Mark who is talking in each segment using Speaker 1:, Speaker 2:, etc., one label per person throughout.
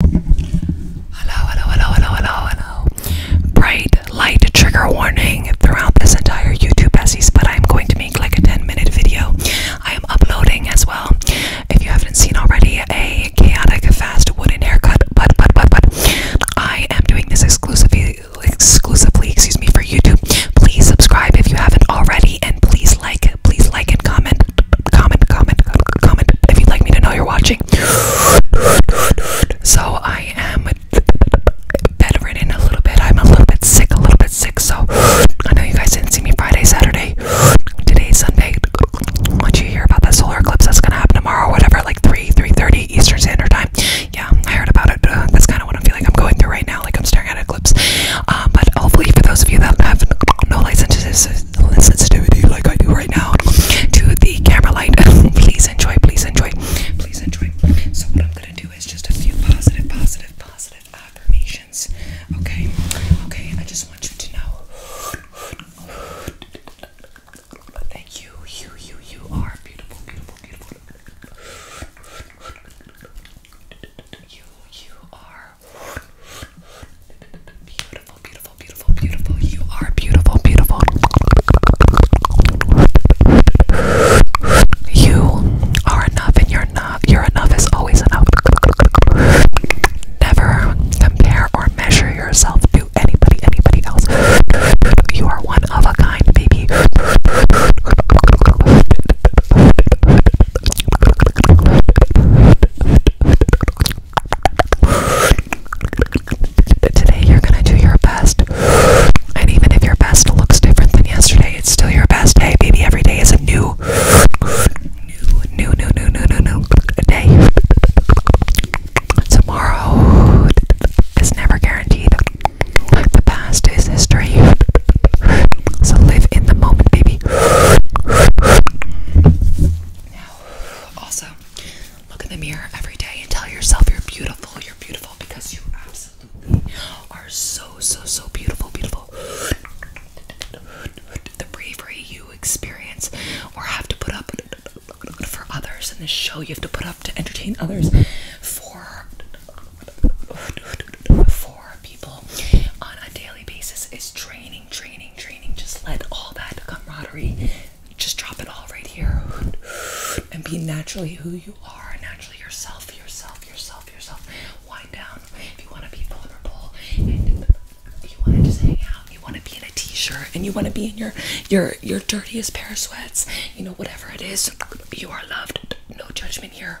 Speaker 1: Hello, hello, hello, hello, hello, hello. Bright light trigger warning throughout this entire YouTube essays, but I'm going to make like a 10 minute video. I am uploading as well. If you haven't seen already, a chaotic fast wooden haircut, but but but but I am doing this exclusively exclusively, excuse me, for YouTube. Please subscribe if you haven't already and please like, please like and comment comment, comment, comment if you'd like me to know you're watching. So I am bedridden a little bit. I'm a little bit sick, a little bit sick. So I know you guys didn't see me Friday, Saturday, today, Sunday. Once you hear about that solar eclipse that's gonna happen tomorrow, whatever, like three, three thirty Eastern Standard Time. Yeah, I heard about it. Uh, that's kind of what I'm feeling. I'm going through right now. Like I'm staring at an eclipse. Um, but hopefully, for those of you that have no licenses no sensitivity like I do right now to the camera light, please enjoy, please enjoy, please enjoy. So what I'm gonna do is just a few positive, positive, positive affirmations. Okay, okay. I just want you to know. Thank you, you, you, you are beautiful, beautiful, beautiful. You, you are Beautiful, beautiful, beautiful, beautiful. You are beautiful, beautiful. You are enough and you're not. You're enough is always enough. Never compare or measure yourself to anybody, anybody else. You are one of a kind, baby today you're gonna do your best. And even if your best looks different than yesterday, it's still your best. day, baby, every day is a new new new new new new new, new day. Tomorrow is never guaranteed. The past is history. So live in the moment, baby. Now, also, Look in the mirror every day and tell yourself you're beautiful. You're beautiful because you absolutely are so, so, so beautiful. Beautiful. The bravery you experience or have to put up for others, and the show you have to put up to entertain others for for people on a daily basis is training training, training, Just let all that camaraderie, just drop it all right here and be naturally who you are, naturally yourself, yourself, yourself, yourself. Wind down if you want to be vulnerable and you want to just hang out, you want to be in a t-shirt and you want to be in your your your dirtiest pair of sweats, you know, whatever it is, you are loved. No judgment here.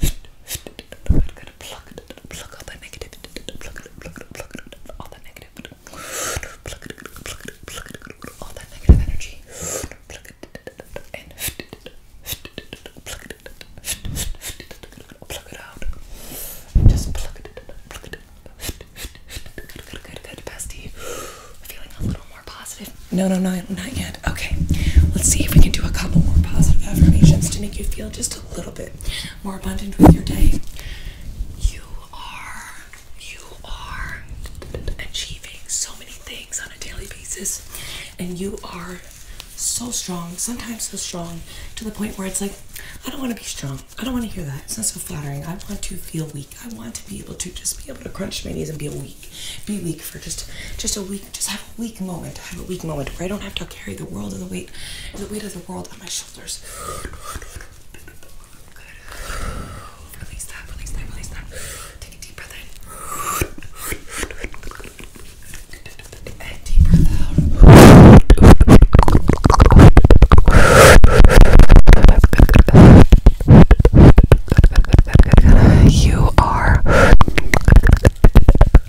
Speaker 1: Gotta pluck it, pluck all that negative, pluck it, pluck it, pluck it, all that negative, pluck it, pluck it, pluck it, all that negative energy, pluck it, and pluck it, pluck it out, just pluck it, pluck it, good, good, good, good, bestie, feeling a little more positive. No, no, no, not yet. Okay, let's see if we can do a couple more positive affirmations to make you feel just a little bit more abundant with your day, you are you are achieving so many things on a daily basis, and you are so strong. Sometimes so strong to the point where it's like, I don't want to be strong. I don't want to hear that. It's not so flattering. I want to feel weak. I want to be able to just be able to crunch my knees and be weak, be weak for just just a week just have a weak moment, have a weak moment where I don't have to carry the weight, of the world on my shoulders. Release that, release that, release that. Take a deep breath And deep breath You are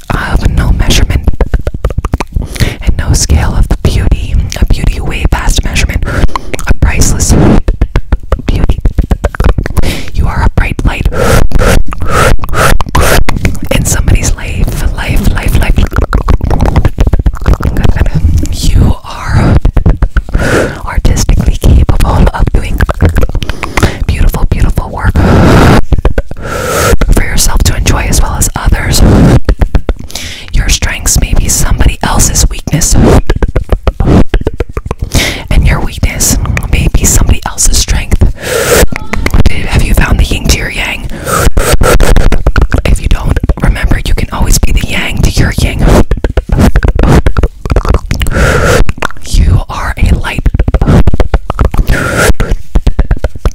Speaker 1: of no measurement and no scale of the beauty, a beauty way past measurement, a priceless beauty. You are a bright light in somebody's life, life, life, life. You are artistically capable of doing beautiful, beautiful work for yourself to enjoy as well as others. Your strengths may be somebody else's weakness, and your weakness may be somebody else's strength. Have you found the yin to your yang? If you don't, remember you can always be the yang to your yang. You are a light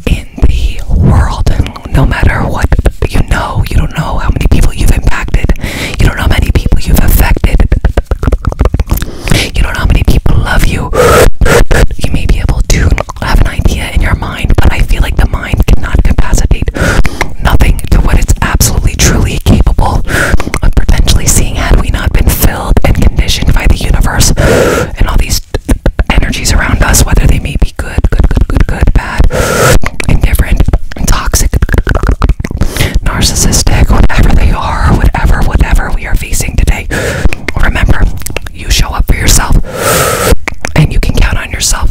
Speaker 1: in the world, no matter what you know, you don't know how many people you've impacted, you don't know how many people you've affected, you don't know how many people love you. You may be able to have an idea in your mind, but I feel like the mind cannot capacitate nothing to what it's absolutely truly capable of potentially seeing had we not been filled and conditioned by the universe and all these just energies around us, whether they may be good, good, good, good, good, bad, indifferent, toxic, narcissistic, whatever they are, whatever, whatever we are facing today. Remember, you show up for yourself and you can count on yourself.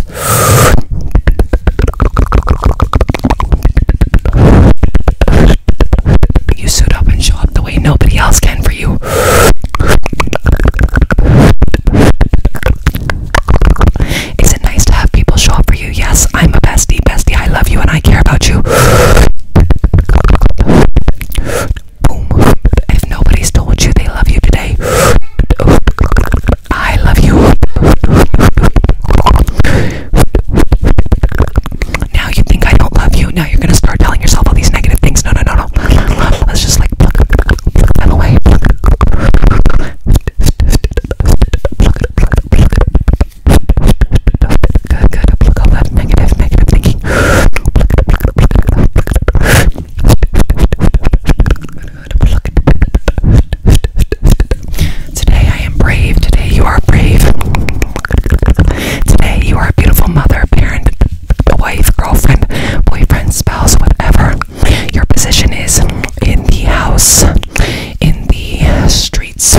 Speaker 1: You suit up and show up the way nobody else can for you. Is it nice to have people show up for you? Yes, I'm a bestie, bestie. I love you and I care about you. Boom. If nobody's told you they love you today, I love you. Now you think I don't love you. Now you're going to start telling yourself all these negative things. No, no, no, Let's just like pluck, pluck, pluck them away. Pluck. Pluck, pluck, pluck. Good, good. Pluck all that negative, negative thinking. Pluck, pluck, pluck, pluck. Good, good. Pluck. Today I am brave. Today you are brave. Today you are a beautiful mother, parent, wife, girlfriend, boyfriend, spouse, whatever your position is in the house, in the streets,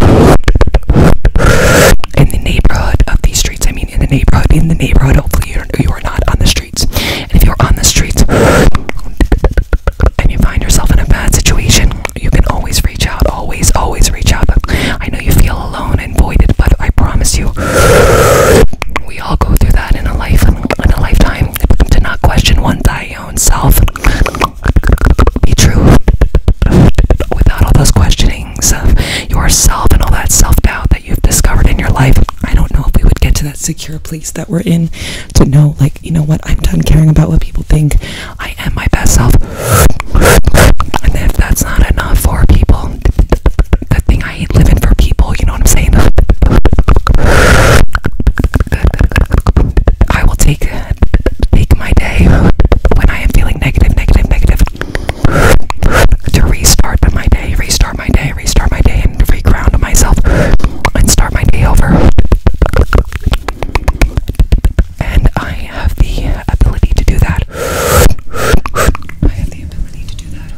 Speaker 1: in the neighborhood of these streets. I mean, in the neighborhood, in the neighborhood. Hopefully, you're, not on the streets. And if you're on the streets and you find yourself in a bad situation, you can always reach out. Always, always reach out. I know you feel alone down but I promise you, we all go through that in a life, in a lifetime. To not question one's own self, be true without all those questionings of yourself and all that self-doubt that you've discovered in your life. I don't know if we would get to that secure place that we're in to know, like, you know what, I'm done caring about what people think. I am my best self. And if that's not enough for people, the thing I ain't living for people, you know what I'm saying? I will take take my day when I am feeling negative, negative, negative to restart my day, restart my day, restart my day, and reground myself and start my day over. And I have the ability to do that that. I have the ability to do that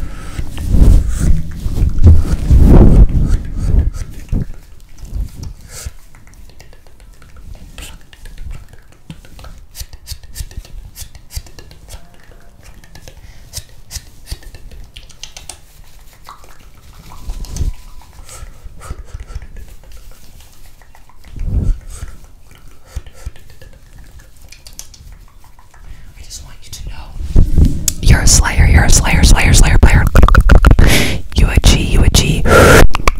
Speaker 1: you are a slayer, you're a slayer, slayer, slayer, player. You a G, you a G.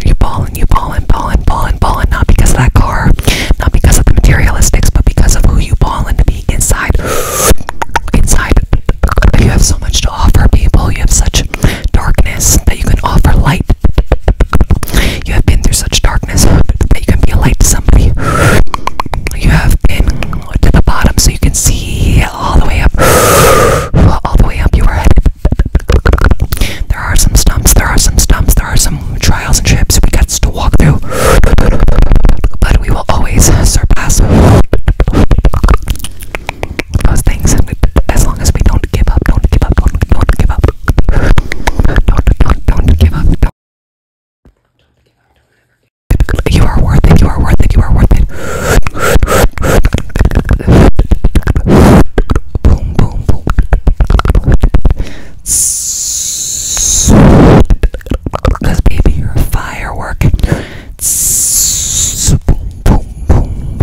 Speaker 1: You ballin', you ballin', ballin', ballin', ballin'. Not because of that car, not because of the materialistics, but because of who you ballin' to be inside. Inside, you have so much to offer people. You have such darkness that you can offer light. You have been through such darkness but you can be a light to somebody. You have been to the bottom so you can see all the way up. All the way up you are headed. There are some stumps, there are some stumps, there are some trials and trips we got to walk through. But we will always surpass those things as long as we don't give up, don't give up, don't, don't give up. Don't, don't, don't give up, you are worth it, you are worth it, you are worth it. boom, boom, boom. Because baby, you're a firework. boom, boom, boom.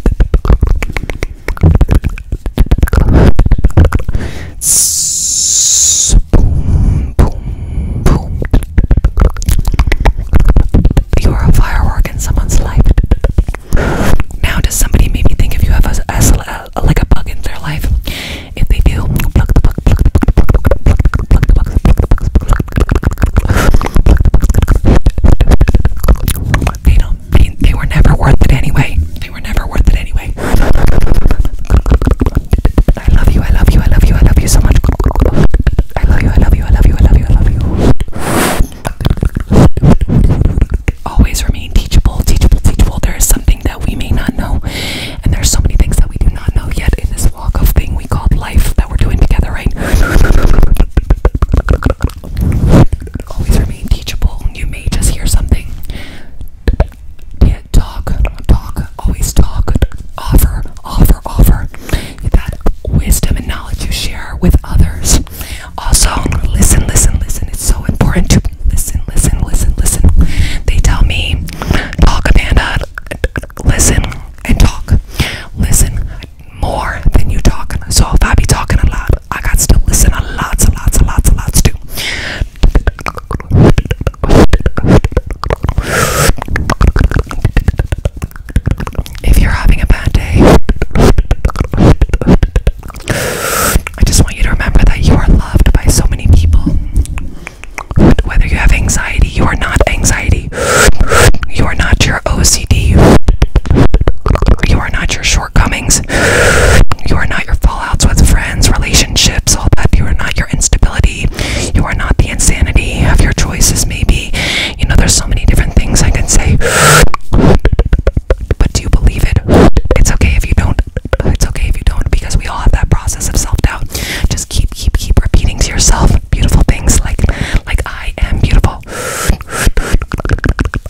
Speaker 1: Boom, boom, boom. You are a firework in someone's life. Now, does somebody maybe think if you have a, a, a like a bug in their life? If they do, pluck the bug, pluck the bug, pluck the bug, pluck the bug, pluck the bug. They don't. They, they were never worth it anyway. They were never worth it anyway. I love you, I love you, I love you, I love you so much. I love you, I love you, I love you, I love you, I love you. Always remain teachable, teachable, teachable. There is something that we may not know, and there's so many things that we do not know yet in this walk of thing we called life that we're doing together, right? Always remain teachable. You may just hear something yeah, talk, talk, always talk, offer, offer, offer that wisdom and knowledge you share with others. Also, listen, listen, listen. It's so important to listen, listen, listen, listen. They tell me, talk, a Amanda, listen and talk. Listen more than you talk. So if I be talking a lot, I got to listen a lot, a lots, a lots, a lots too. If you're having a bad day, I just want you to remember that you are loved by so many people. Whether you have anxiety, you are not anxiety. You are not your OCD. You are not your short shortcomings. You are not your fallouts with friends, relationships, all that. You are not your instability. You are not the insanity of your choices, maybe. You know, there's so many different things I can say. But do you believe it? It's okay if you don't. It's okay if you don't, because we all have that process of self doubt. Just keep, keep, keep repeating to yourself beautiful things like, like I am beautiful.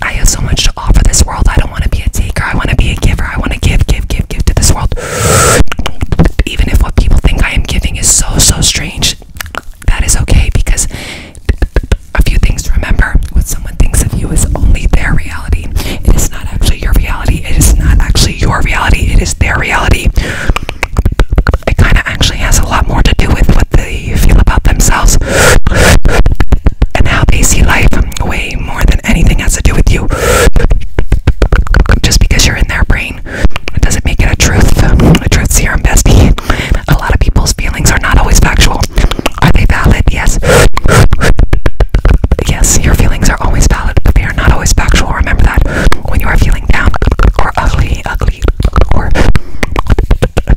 Speaker 1: I have so much to this world. I don't want to be a taker. I want to be a giver. I want to give, give, give, give to this world. Even if what people think I am giving is so, so strange, that is okay because a few things to remember what someone thinks of you is only their reality. It is not actually your reality. It is not actually your reality. It is their reality. It kind of actually has a lot more to do with what they feel about themselves and how they see life way more than anything has to do with you. Just because you're in their brain it doesn't make it a truth. A truth serum bestie. A lot of people's feelings are not always factual. Are they valid? Yes. Yes, your feelings are always valid, but they are not always factual. Remember that. When you are feeling down or ugly, ugly, or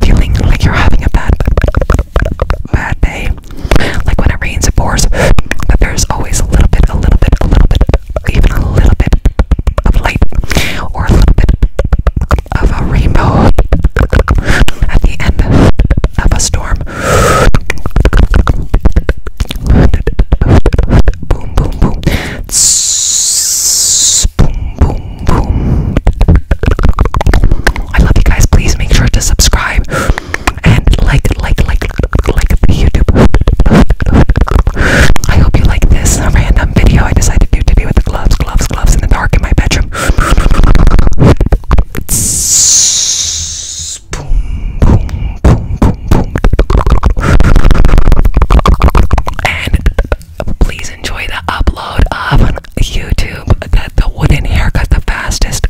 Speaker 1: feeling like you're having a bad, bad day, like when it rains, it pours, but there's always a little bit, a little bit, a little bit, even a little bit of light or a little bit of a rainbow at the end of a storm. Boom, boom, boom. boom, boom, boom. I love you guys. Please make sure to subscribe and like, like, like, like the YouTube. I hope you like this random video I decided to do today with the gloves, gloves, gloves in the dark in my bedroom. Boom, boom, boom, boom, boom. And please enjoy the upload of YouTube that the wooden haircut, the fastest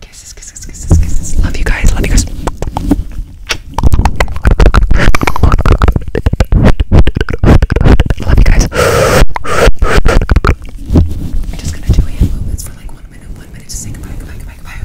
Speaker 1: Kisses, kisses, kisses, kisses. Love you guys. Love you guys. Love you guys. I'm just gonna do hand movements for like one minute, one minute to say goodbye, goodbye, goodbye, goodbye.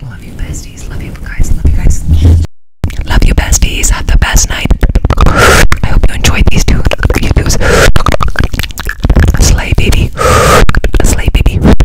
Speaker 1: Love you, besties. Love you guys. Love you guys. Love you, besties. Have the best night. I hope you enjoyed these two YouTubes. Slay, baby. Slay, baby.